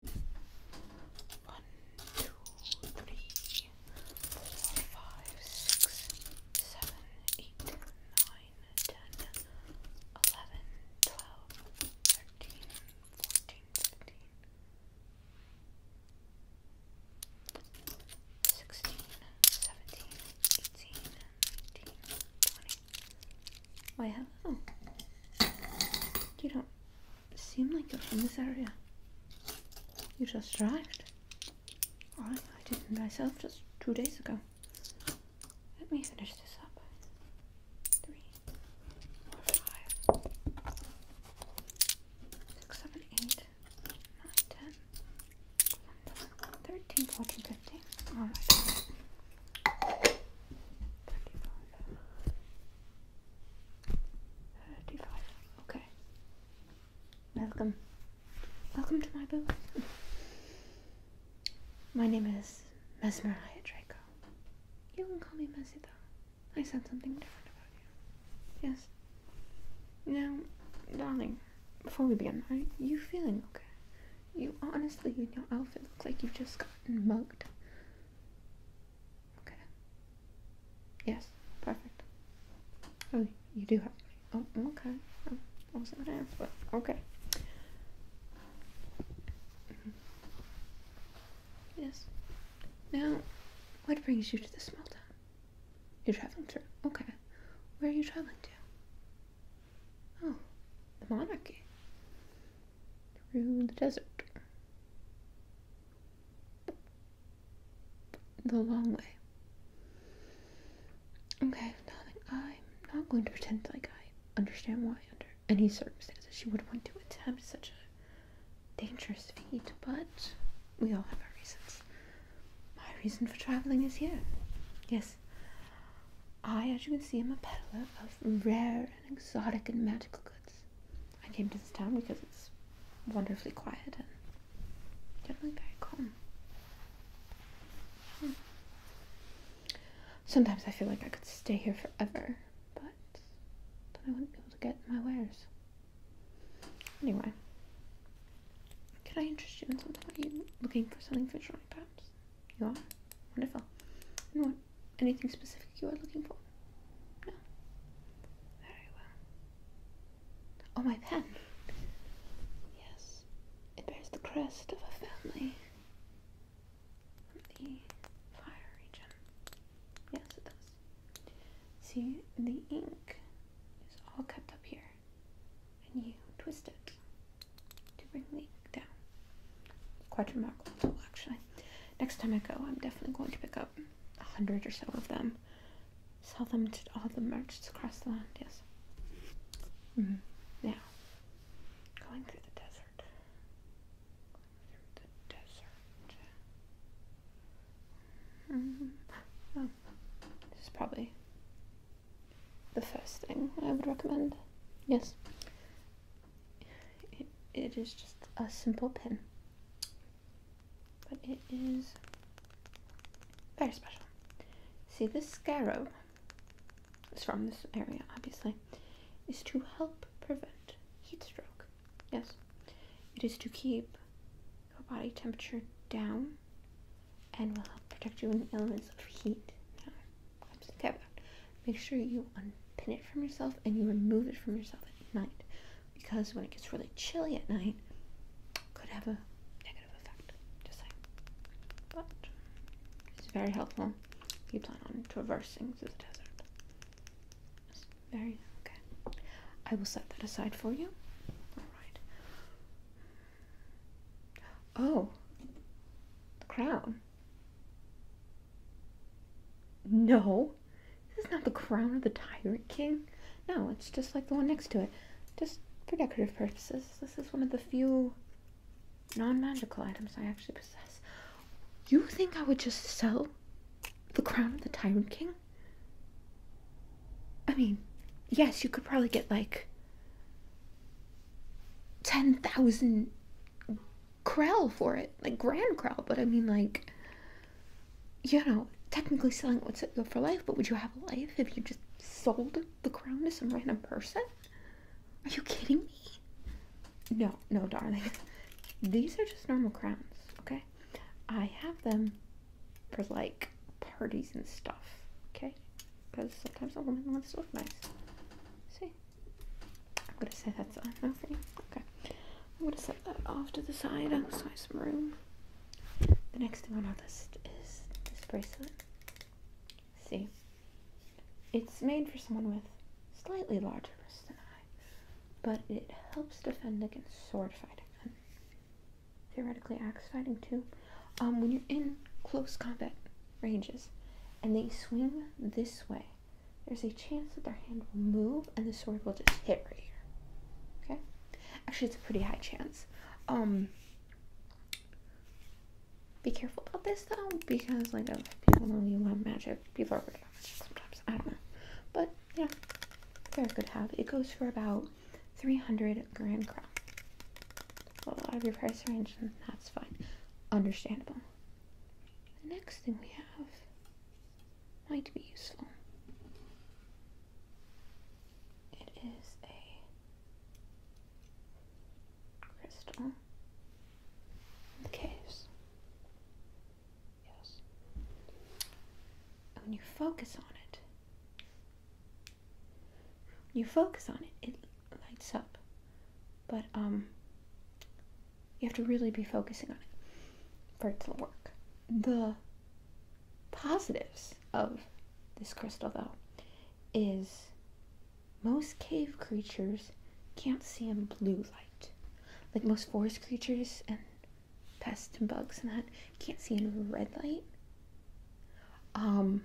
One, two, three, four, five, six, seven, eight, nine, ten, eleven, twelve, thirteen, fourteen, fifteen, sixteen, seventeen, eighteen, nineteen, twenty. Wait, hello. You don't seem like you're from this area. You just arrived. I didn't myself just two days ago. Let me finish this up. Three, four, five, six, seven, eight, nine, ten, eleven, thirteen, fourteen, fifteen. All right. 35, 35. Okay. Welcome. Welcome to my booth. my name is Mesmeraya Draco. You can call me Messi though. I said something different about you. Yes. Now, darling, before we begin, are you feeling okay? You honestly, in your outfit, look like you've just gotten mugged. Okay. Yes, perfect. Oh, you do have. Oh, okay. Oh, I was gonna ask, but okay. Mm-hmm. Yes. Now, what brings you to this small You're traveling to. Okay. Where are you traveling to? Oh, the monarchy through the desert. The long way. Okay, I'm not going to pretend like I understand why, under any circumstances, she would want to attempt such a dangerous feat, but we all have our reasons. My reason for traveling is here. Yes. I, as you can see, i am a peddler of rare exotic and magical goods. I came to this town because it's wonderfully quiet and generally very calm. Hmm. Sometimes I feel like I could stay here forever, but then I wouldn't be able to get my wares. Anyway, can I interest you in something? Are you looking for something for drawing, perhaps? You are? Wonderful anything specific you are looking for? No. Very well. Oh, my pen. Yes. It bears the crest of a family from the fire region. Yes, it does. See, the ink is all kept up here, and you twist it to bring the ink down. Quite remarkable, actually. Next time I go, I'm definitely going to pick up a hundred or so of them. Sell them to all the merchants across the land, yes. mm mm-hmm. Now, going through the desert. Mm-hmm. Oh. this is probably the first thing I would recommend. Yes it is just a simple pin, but it is very special. See, this scarab is from this area, obviously, is to help prevent heat stroke. Yes, it is to keep your body temperature down and will help protect you in the elements of heat. No, okay, make sure you unpin it from yourself and you remove it from yourself at night because when it gets really chilly at night, could have a negative effect. Just saying. But it's very helpful you plan on traversing through the desert. very okay. I will set that aside for you. Alright. Oh, the crown. No, this is not the crown of the tyrant king. No, it's just like the one next to it. Just for decorative purposes, this is one of the few non-magical items I actually possess. You think I would just sell the crown of the tyrant king? I mean, yes, you could probably get like 10,000 Krell for it, like Grand Krell, but I mean, like, you know, technically selling it set you up for life, but would you have a life if you just sold the crown to some random person? Are you kidding me? No, no, darling. These are just normal crowns, okay? I have them for like parties and stuff, okay? Because sometimes a woman wants to look nice. See? I'm gonna set that side for you. Okay. I'm gonna set that off to the side I'll have some room. The next thing on my list is this bracelet. See. It's made for someone with slightly larger wrists than I, but it helps defend against sword fighting theoretically axe fighting too. Um, when you're in close combat ranges and they swing this way, there's a chance that their hand will move and the sword will just hit right here. Okay? Actually, it's a pretty high chance. Um, be careful about this though, because like I if people know you love magic, people are worried about magic sometimes. I don't know, but yeah, they're good have. It goes for about 300 grand crown. A little out of your price range, and that's fine, understandable. The next thing we have might be useful. It is a crystal. The caves. Yes. When you focus on it, you focus on it, it lights up but um, you have to really be focusing on it for it to work. The positives of this crystal, though, is most cave creatures can't see in blue light. Like most forest creatures and pests and bugs and that can't see in red light. Um,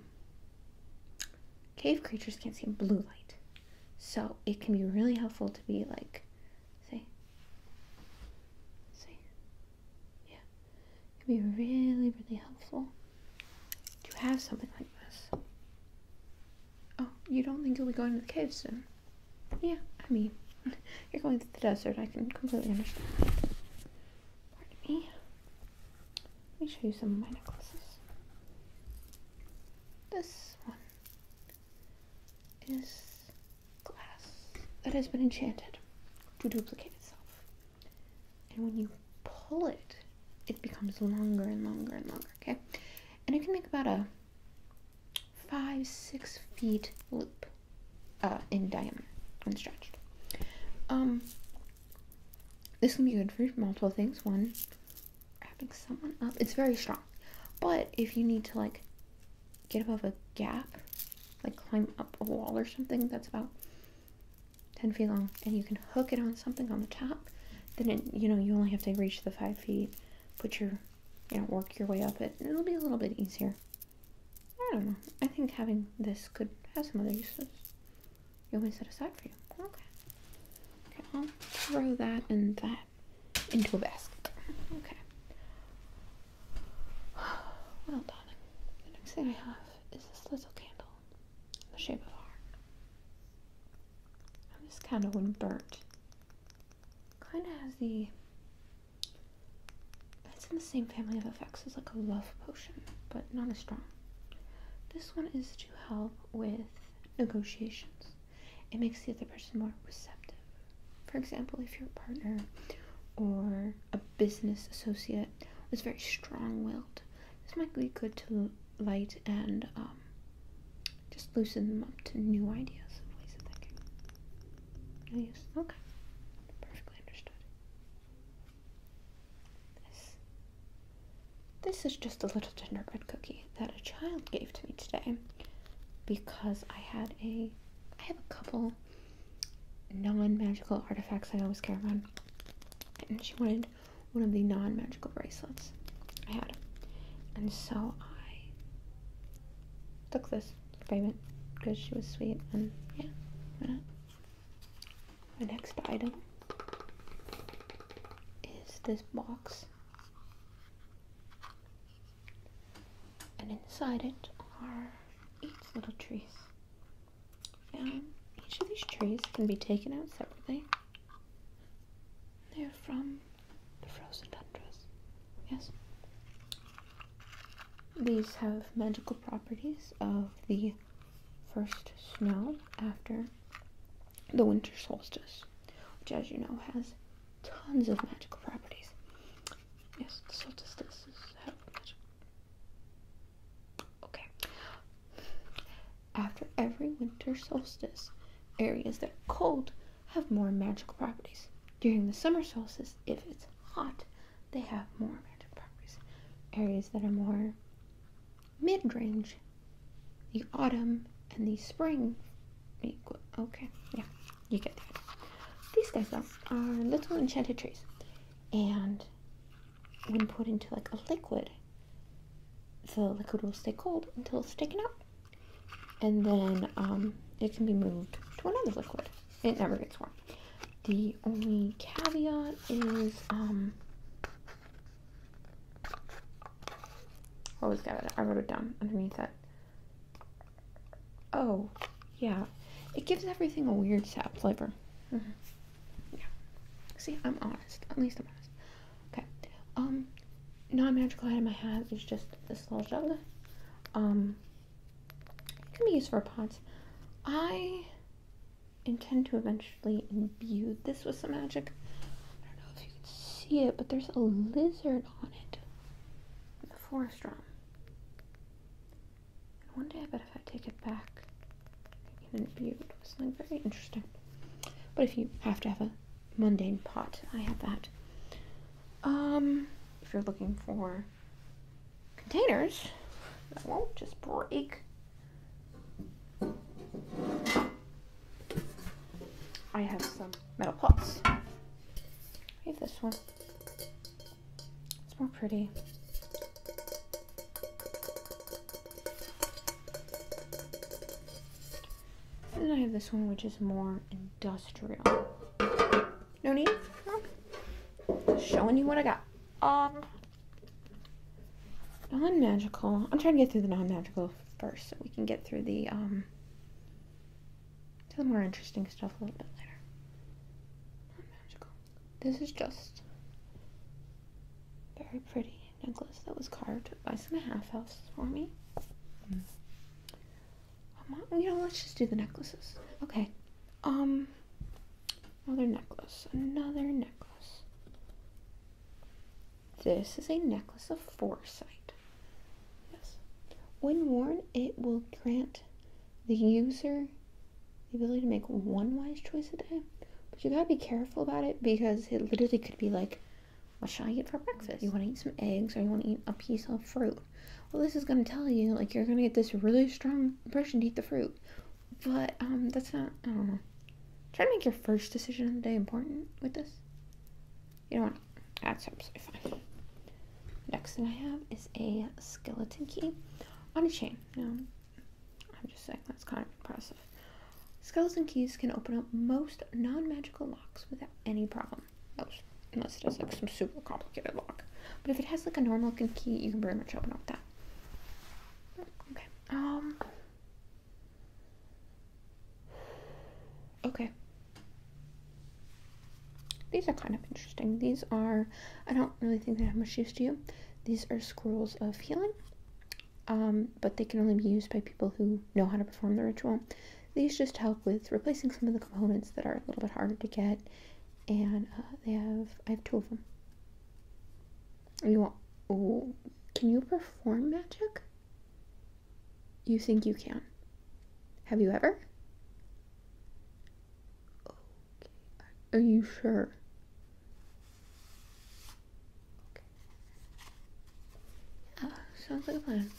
cave creatures can't see in blue light. So it can be really helpful to be like, say, say, yeah, it can be really, really helpful to have something like this. Oh, you don't think you'll be going to the cave soon? Yeah, I mean, you're going to the desert. I can completely understand. Pardon me. Let me show you some of my necklaces. This one is glass that has been enchanted to duplicate itself. And when you pull it, it becomes longer and longer and longer, okay? And it can make about a five, six feet loop uh, in diameter when stretched. Um, this can be good for multiple things. One, wrapping someone up. It's very strong. But if you need to like get above a gap, like climb up a wall or something that's about 10 feet long, and you can hook it on something on the top, then you know, you only have to reach the five feet, put your, you know, work your way up it, and it'll be a little bit easier. I don't know. I think having this could have some other uses. You want me set aside for you? Okay. Okay, I'll throw that and that into a basket. Okay. Well, darling, the next thing I have is this little candle in the shape of a heart. And this candle, when burnt, kind of has the. It's in the same family of effects as like a love potion, but not as strong. This one is to help with negotiations it makes the other person more receptive. For example, if your partner or a business associate was very strong willed, this might be good to light and um, just loosen them up to new ideas and ways of thinking. No Okay. Perfectly understood. This. This is just a little gingerbread cookie that a child gave to me today because I had a I have a couple non-magical artifacts I always carry around, And she wanted one of the non-magical bracelets I had. And so I took this for payment because she was sweet and yeah, why My next item is this box and inside it are eight little trees. And each of these trees can be taken out separately. They're from the frozen tundras. Yes? These have magical properties of the first snow after the winter solstice, which, as you know, has tons of magical properties. Yes, so have magic. Okay. After every winter solstice, areas that are cold have more magical properties. During the summer solstice, if it's hot, they have more magical properties. Areas that are more mid range the autumn and the spring Okay, yeah, you get that. These guys though are little enchanted trees, and when put into like a liquid, the liquid will stay cold until it's taken out, and then um, it can be moved to another liquid. It never gets warm. The only caveat is um, Always got it. I wrote it down underneath that. Oh, yeah. It gives everything a weird sap flavor. Mm-hmm. Yeah. See, I'm honest. At least I'm honest. Okay. Um, non-magical item I have is just this little jug. Um, can be used for pots. I intend to eventually imbue this with some magic. I don't know if you can see it, but there's a lizard bonnet and the forest drum. And one day I bet if I take it back, I can interview it with something very interesting. But if you have to have a mundane pot, I have that. Um, if you're looking for containers that won't just break, I have some metal pots. I have this one. It's more pretty. And then I have this one which is more industrial. No need? Just showing you what I got. Um non-magical. I'm trying to get through the non-magical first so we can get through the um to the more interesting stuff a little bit later. magical. This is just very pretty necklace that was carved by some half elves for me. Hmm. Um, you know, let's just do the necklaces. Okay. Um. Another necklace. Another necklace. This is a necklace of foresight. Yes. When worn, it will grant the user the ability to make one wise choice a day. But you gotta be careful about it because it literally could be like, what should I eat for breakfast? You wanna eat some eggs or you wanna eat a piece of fruit. Well, this is gonna tell you, like, you're gonna get this really strong impression to eat the fruit. But, um, that's not, I don't know. Try to make your first decision of the day important with this. You know what? That's absolutely fine. Next thing I have is a skeleton key on a chain. No, I'm just saying that's kind of impressive. Skeleton keys can open up most non-magical locks without any problem. unless it has like some super complicated lock. But if it has like a normal looking key, you can pretty much open up that. Okay. Um, Okay. These are kind of interesting. These are, I don't really think they have much use to you. These are scrolls of healing, um, but they can only be used by people who know how to perform the ritual. These just help with replacing some of the components that are a little bit harder to get, and uh, they have, I have two of them. You want, oh, can you perform magic? you think you can. Have you ever? Are you sure? Uh, sounds like a plan.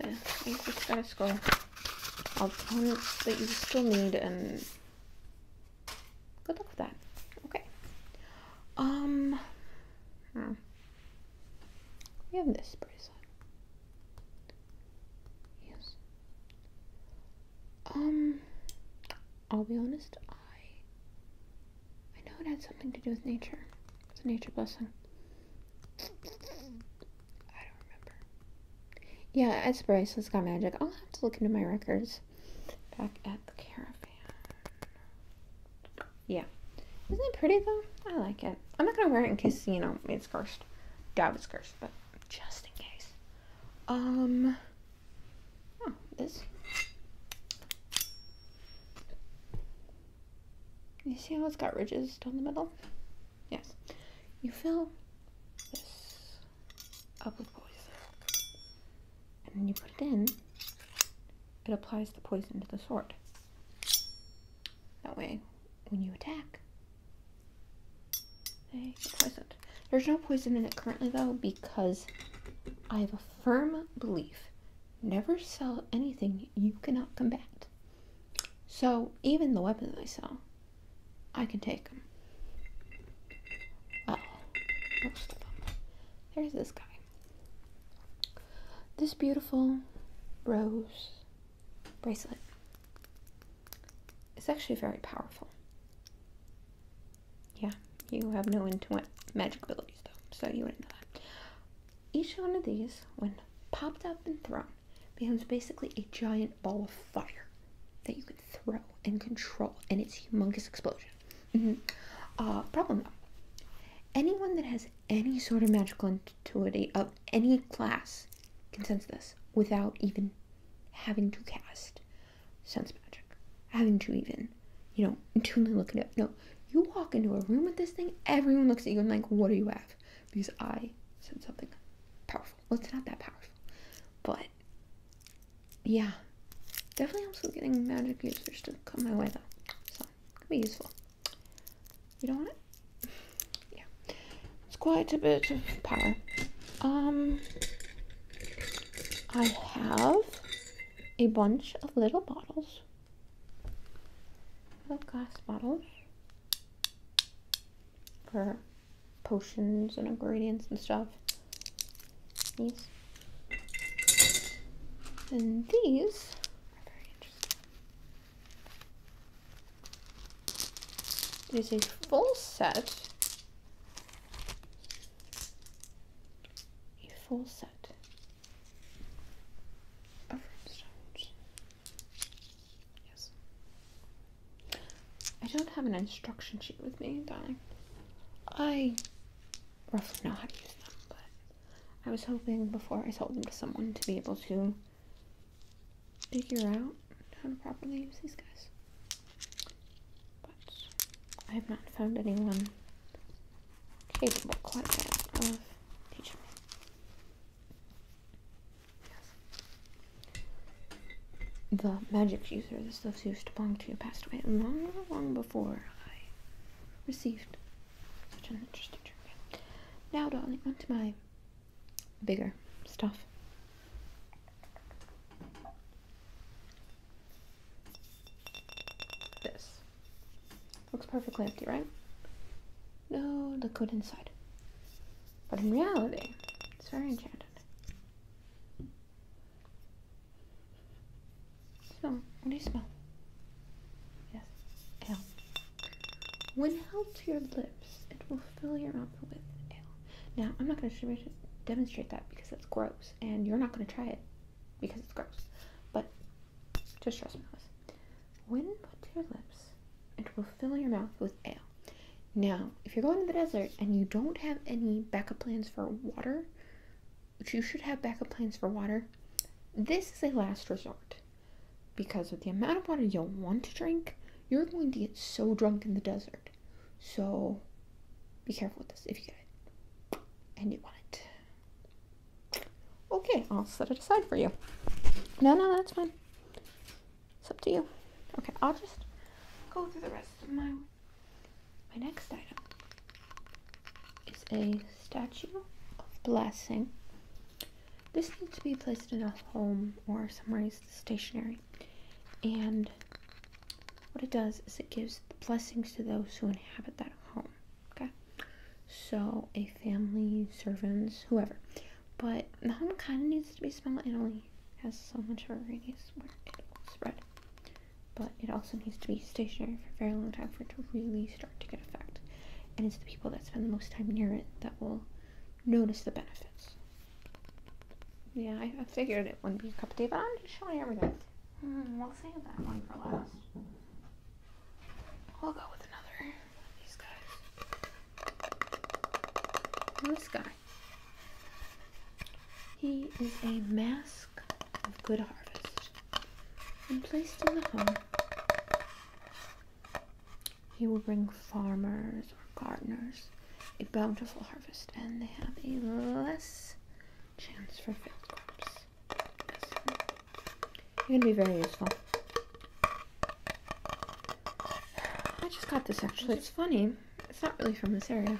So, you just gotta scroll all the points that you still need and um, good luck with that. Okay. Um. Hmm. We have this bracelet. Yes. Um, I'll be honest, I I know it had something to do with nature. It's a nature blessing. I don't remember. Yeah, it's Bryce. It's got magic. I'll have to look into my records back at the caravan. Yeah. Isn't it pretty though? I like it. I'm not gonna wear it in case, you know, it's cursed. God it's cursed, but just in case. Um oh, this You see how it's got ridges down the middle? Yes. You fill this up with poison. And then you put it in it applies the poison to the sword. That way, when you attack, they get poisoned. There's no poison in it currently, though, because I have a firm belief never sell anything you cannot combat. So, even the weapons I sell, I can take them. Oh, most of them. There's this guy. This beautiful rose bracelet is actually very powerful. Yeah, you have no intuitive magic abilities though, so you wouldn't know that. Each one of these, when popped up and thrown, becomes basically a giant ball of fire that you can throw and control, and it's humongous explosion. Mm -hmm. uh, problem though. Anyone that has any sort of magical intuity of any class can sense this without even having to cast sense magic, having to even, you know, intuitively look it No, you walk into a room with this thing, everyone looks at you and like, what do you have? Because I said something powerful. Well, it's not that powerful, but yeah, definitely helps with getting magic users to come my way though. So useful. Could be useful. You don't want it? Yeah. It's quite a bit of power. Um, I have a bunch of little bottles. Little glass bottles. For potions and ingredients and stuff. These. And these are a full set. A full set of stones. Yes. I don't have an instruction sheet with me, darling. I roughly know how to use them, but I was hoping before I sold them to someone to be able to figure out how to properly use these guys. But I have not found anyone capable quite yet of teaching me. Yes. The magic user this stuff used to belong to passed away long, long before I received such an interesting trivia. Now, darling, on to my bigger stuff. This. Looks perfectly empty, right? No liquid inside. But in reality, it's very enchanted. So, what do you smell? Yes, ale. When held to your lips, it will fill your mouth with ale. Now, I'm not going to demonstrate that because that's gross, and you're not going to try it because it's gross. But just trust me on this. When put to your lips, it will fill your mouth with ale. Now, if you're going to the desert and you don't have any backup plans for water, you should have backup plans for water. This is a last resort because with the amount of water you'll want to drink, you're going to get so drunk in the desert. So be careful with this if you get it and you want it. Okay, I'll set it aside for you. No, no, that's fine. It's up to you. Okay, I'll just go through the rest of my my next item is a statue of blessing. This needs to be placed in a home or somewhere stationary. And what it does is it gives blessings to those who inhabit that home. Okay? So a family, servants, whoever. But the home kind of needs to be small. It only has so much of a radius where it will spread but it also needs to be stationary for a very long time for it to really start to get effect. And it's the people that spend the most time near it that will notice the benefits. Yeah, I, figured it wouldn't be a cup of tea, but I'm just showing everything. Hmm, we'll save that one for last. We'll go with another of these guys. this guy. He is a mask of good harvest and placed in the home. He will bring farmers or gardeners a bountiful harvest, and they have a less chance for field crops. It can be very useful. I just got this actually. It's funny. It's not really from this area.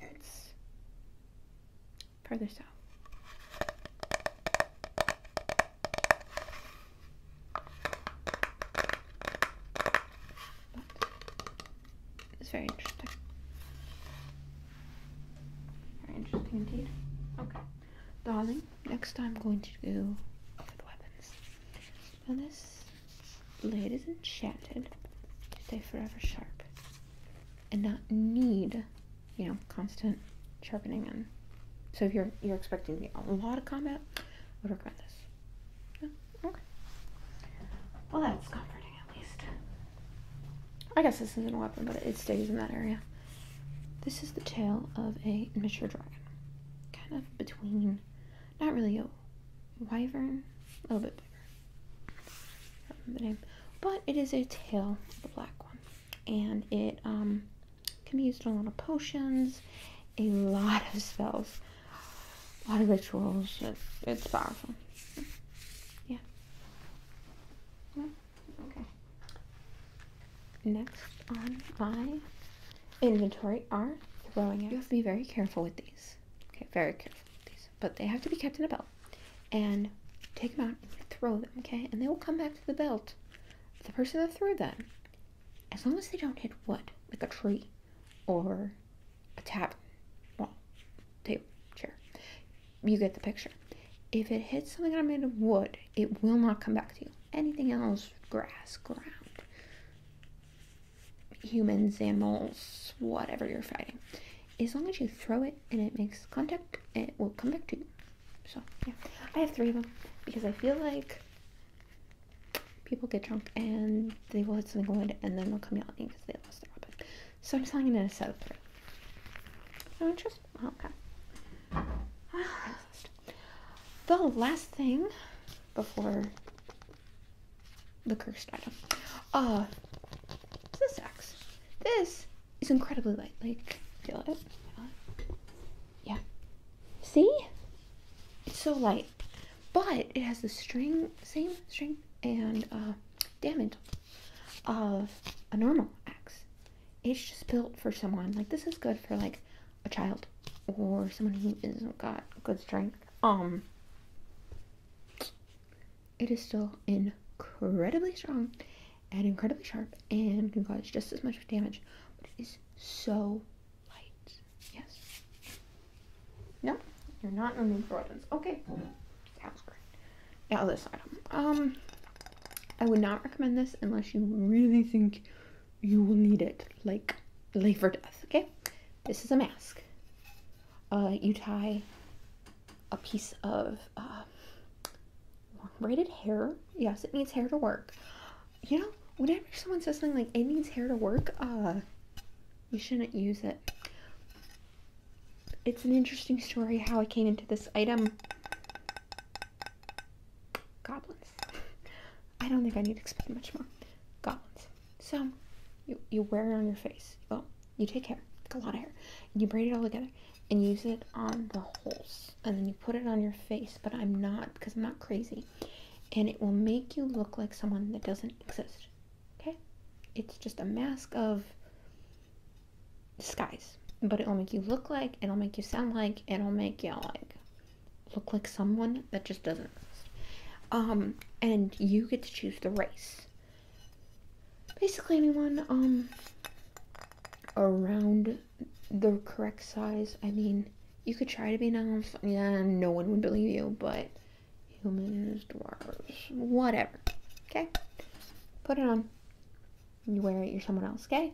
It's further south. it's very interesting. Very interesting indeed. Okay. Darling, next I'm going to do with weapons. Now this blade is enchanted to stay forever sharp and not need you know, constant sharpening and so if you're you're expecting a lot of combat, I would recommend this. Yeah, okay. Well that's comforting at least. I guess this isn't a weapon, but it stays in that area. This is the tail of a miniature dragon. Kind of between not really a wyvern, a little bit bigger. But it is a tail, the black one, and it um, can be used in a lot of potions, a lot of spells, a lot of rituals. It's, powerful. Yeah. Okay. Next on my inventory are throwing. You have to be very careful with these. Okay, very careful with these but they have to be kept in a belt. And take them out and throw them, okay? And they will come back to the belt. The person that threw them, as long as they don't hit wood, like a tree or a tap, wall, table, chair, you get the picture. If it hits something that made of wood, it will not come back to you. Anything else, grass, ground, humans, animals, whatever you're fighting, as long as you throw it and it makes contact, it will come back to you. So, yeah. I have three of them because I feel like people get drunk and they will hit something wood and then they'll come yelling because they lost their weapon. So I'm selling it in a set of three. No interest? Oh, okay. the last thing before the cursed item. Uh, this axe. This it's incredibly light. Like, feel it. Feel it. Yeah. See? It's so light. But it has the string, same string and uh, damage of a normal axe. It's just built for someone. Like, this is good for, like, a child or someone who isn't got good strength. Um, it is still incredibly strong and incredibly sharp and can cause just as much damage, but it is so light. Yes. No, you're not removed for weapons. Okay. Sounds great. Now this item. Um, I would not recommend this unless you really think you will need it, like life or death, okay? This is a mask. Uh, you tie a piece of uh, braided hair. Yes, it needs hair to work. You know, whenever someone says something like it needs hair to work, uh, you shouldn't use it. It's an interesting story how I came into this item. Goblins. I don't think I need to explain much more. Goblins. So, you, you wear it on your face. You you take hair, like a lot of hair, and you braid it all together and use it on the holes. And then you put it on your face, but I'm not because I'm not crazy. And it will make you look like someone that doesn't exist. Okay? It's just a mask of disguise. But it'll make you look like, it'll make you sound like, it'll make you like look like someone that just doesn't exist. Um, and you get to choose the race basically anyone um around the correct size. I mean, you could try to be now. Yeah, no one would believe you, but humans, dwarves, whatever. Okay? Put it on. You wear it, you're someone else, okay?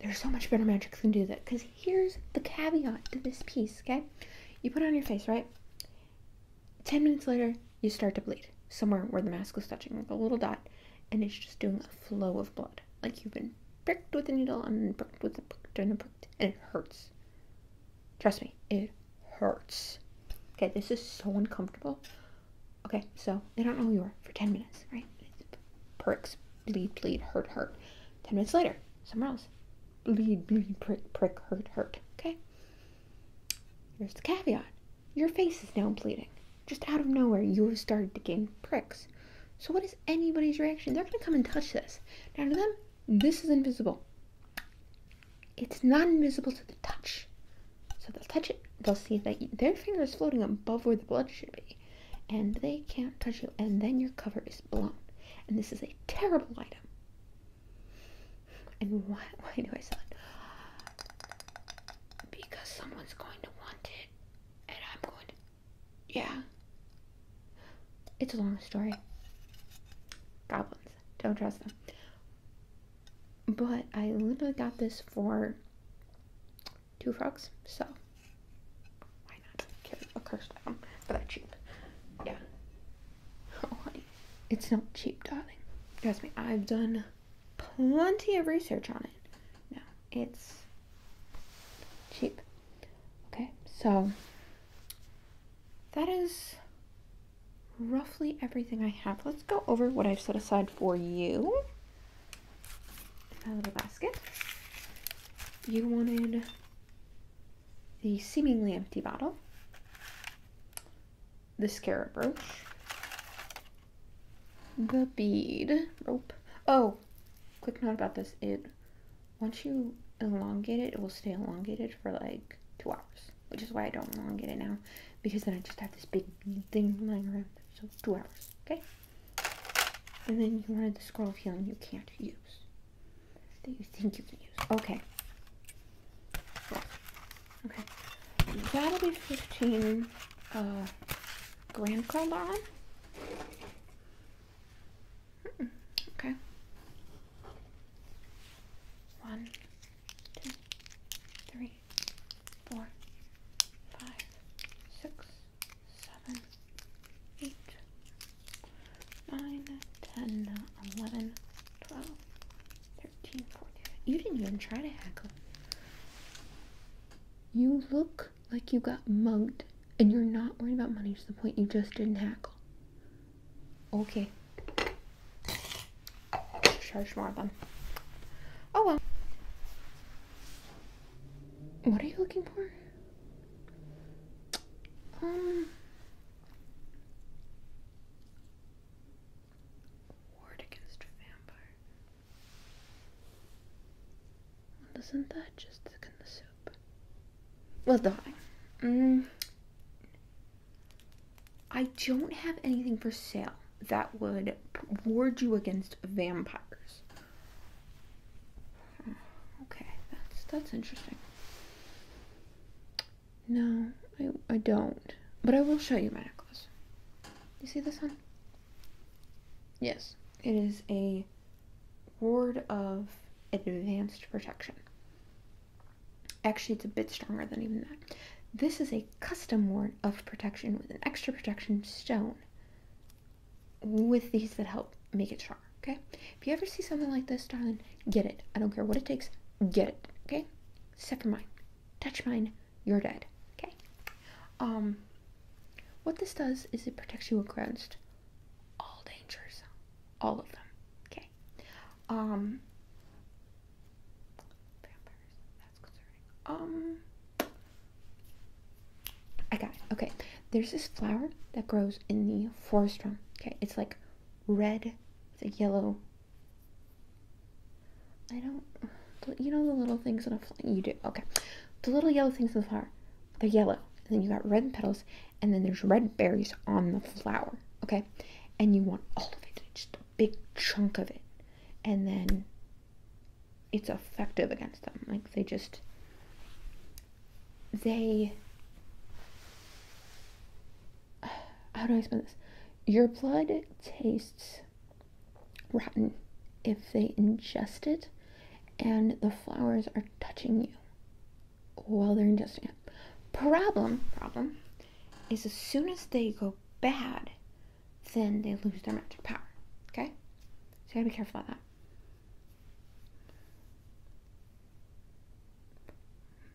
There's so much better magic than do that. Because here's the caveat to this piece, okay? You put it on your face, right? 10 minutes later, you start to bleed somewhere where the mask was touching, like a little dot, and it's just doing a flow of blood. Like you've been pricked with a needle and pricked with a pricked and pricked, and it hurts. Trust me, it hurts. Okay, this is so uncomfortable. Okay, so they don't know who you are for 10 minutes, right? Pricks, bleed, bleed, hurt, hurt. 10 minutes later, somewhere else. Bleed, bleed, prick, prick, hurt, hurt. Okay? Here's the caveat your face is now bleeding. Just out of nowhere, you have started to gain pricks. So, what is anybody's reaction? They're going to come and touch this. Now, to them, this is invisible. It's not invisible to the touch. So, they'll touch it, they'll see that their finger is floating above where the blood should be, and they can't touch you, and then your cover is blown. And this is a terrible item. And why, do I sell it? Because someone's going to want it, and I'm going to. Yeah. It's a long story. Goblins. Don't trust them. But I literally got this for two frogs, so why not kill a cursed item for that cheap? Yeah. honey. It's not cheap, darling. Trust me, I've done plenty of research on it. No, it's cheap. Okay, so that is roughly everything I have. Let's go over what I've set aside for you in my little basket. You wanted the seemingly empty bottle the scarab brooch, the bead rope. Oh, quick note about this. It, once you elongate it, it will stay elongated for like two hours, which is why I don't elongate it now, because then I just have this big thing lying around. So two hours, okay? And then you wanted the scroll of healing you can't use, that you think you can use. Okay. Okay, that'll be 15 uh, grand on. Hmm, okay. One, two, three, four, five, six, seven, eight, nine, ten, eleven, twelve. You didn't even try to hackle. You look like you got mugged and you're not worried about money to the point you just didn't hackle. Okay. Charge more of them. Oh well. What are you looking for? Um. Ward against a doesn't that just thicken the soup? Well, darling, mm. I don't have anything for sale that would ward you against vampires. Okay, that's that's interesting. No, I I don't. But I will show you mine. You see this one? Yes. It is a ward of advanced protection. Actually, it's a bit stronger than even that. This is a custom ward of protection with an extra protection stone with these that help make it stronger, okay? If you ever see something like this, darling, get it. I don't care what it takes, get it, okay? Except for mine touch mine, you're dead. Okay. Um, what this does is it protects you against all dangers, all of them. Okay. Um, vampires. That's concerning. Um, I got it. Okay. There's this flower that grows in the forest room. Okay, it's like red, it's a yellow I don't. You know the little things in a flower? You do. Okay. The little yellow things in the flower. They're yellow. then you got red petals. And then there's red berries on the flower. Okay. And you want all of it. Just a big chunk of it. And then it's effective against them. Like they just. They. How do I explain this? Your blood tastes rotten if they ingest it and the flowers are touching you while they're ingesting it. Problem, problem is as soon as they go bad, then they lose their magic power. Okay? So you gotta be careful about that.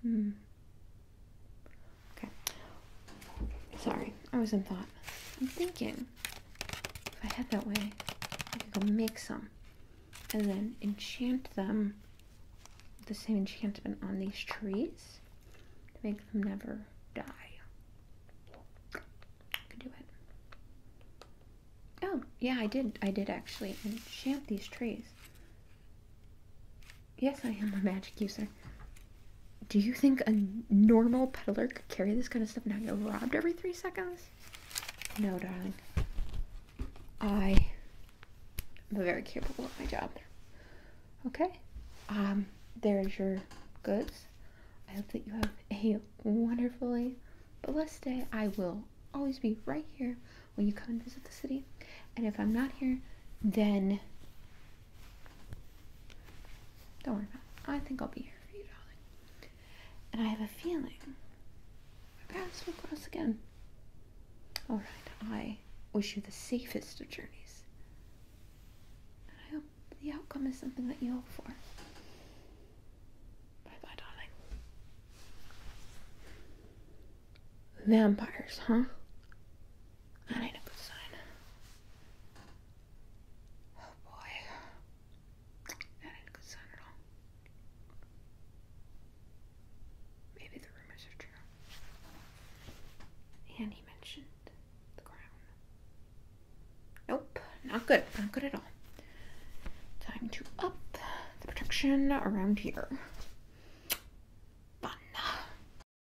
Hmm. Okay. Sorry, I was in thought. I'm thinking if I head that way, I could go make some and then enchant them the same enchantment on these trees to make them never die. I could do it. Oh, yeah, I did. I did actually enchant these trees. Yes, I am a magic user. Do you think a normal peddler could carry this kind of stuff and not get robbed every three seconds? No, darling. I am very capable of my job. Okay? Um, there's your goods. I hope that you have a wonderfully blessed day. I will always be right here when you come and visit the city. And if I'm not here, then don't worry about it. I think I'll be here for you, darling. And I have a feeling my paths will cross again. Alright, I wish you the safest of journeys. And I hope the outcome is something that you hope for. Bye bye, darling. Vampires, huh? That ain't a good sign. Oh boy. That ain't a good sign at all. Maybe the rumors are true. And he mentioned the crown. Nope, not good. Not good at all. Time to up the protection around here. Fun.